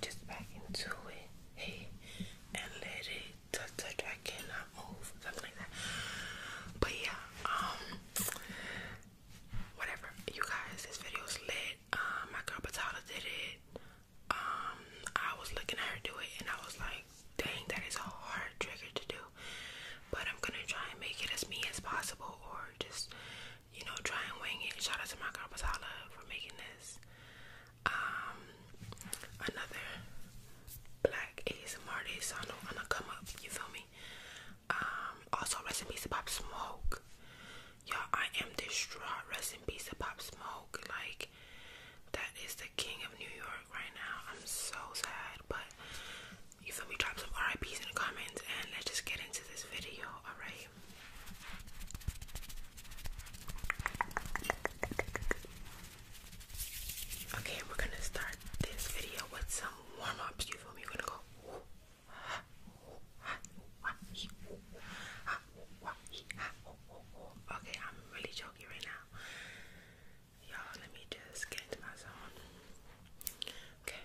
just back into it. Hey, and let it touch, touch. I cannot move. But yeah, um, whatever. You guys, this video's lit. Um, my girl Patala did it. Um, I was looking at her do it, and I was like, dang, that is a hard trigger to do. But I'm gonna try and make it as me as possible, or just you know, try and wing it. Shout out to my girl Patala for making this. Um, another black ASMR artist on the, on the come up, you feel me? Um, also, rest in Pop Smoke. Y'all, I am distraught. Rest in Pop Smoke. Like, that is the king of New York right now. I'm so sad, but you feel me? Drop some RIPs in the comments and let's just get into this video, alright? Okay, we're gonna start this video with some warm You feel me? You're gonna go. Okay, I'm really joking right now. Y'all, let me just get into my zone. Okay.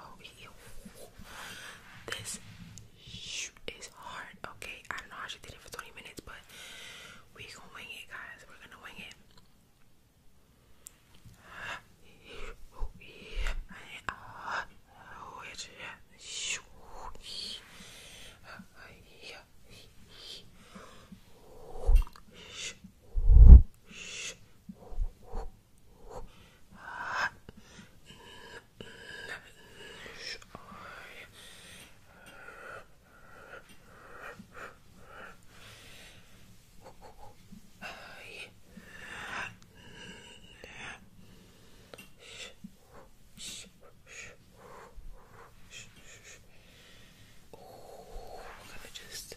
oh This is hard. Okay, I don't know how she did it for 20 minutes, but we gonna wing it, guys. We're gonna wing it. Oh, we're gonna just.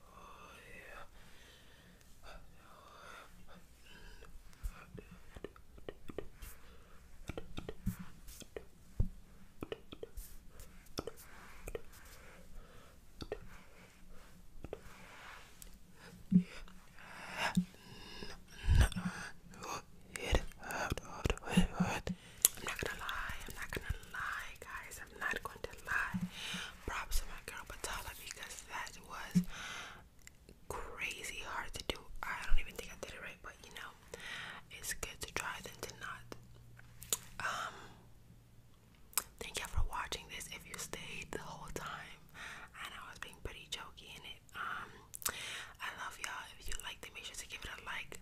I'm not gonna lie, I'm not gonna lie, guys. I'm not going to lie. Props to my girl Batala because that was crazy hard to do. I don't even think I did it right, but you know, it's good to try than to not. Um, thank you for watching this. If you stayed the whole time, I I was being pretty jokey in it. Um, I love y'all. If you liked it, make sure to give it a like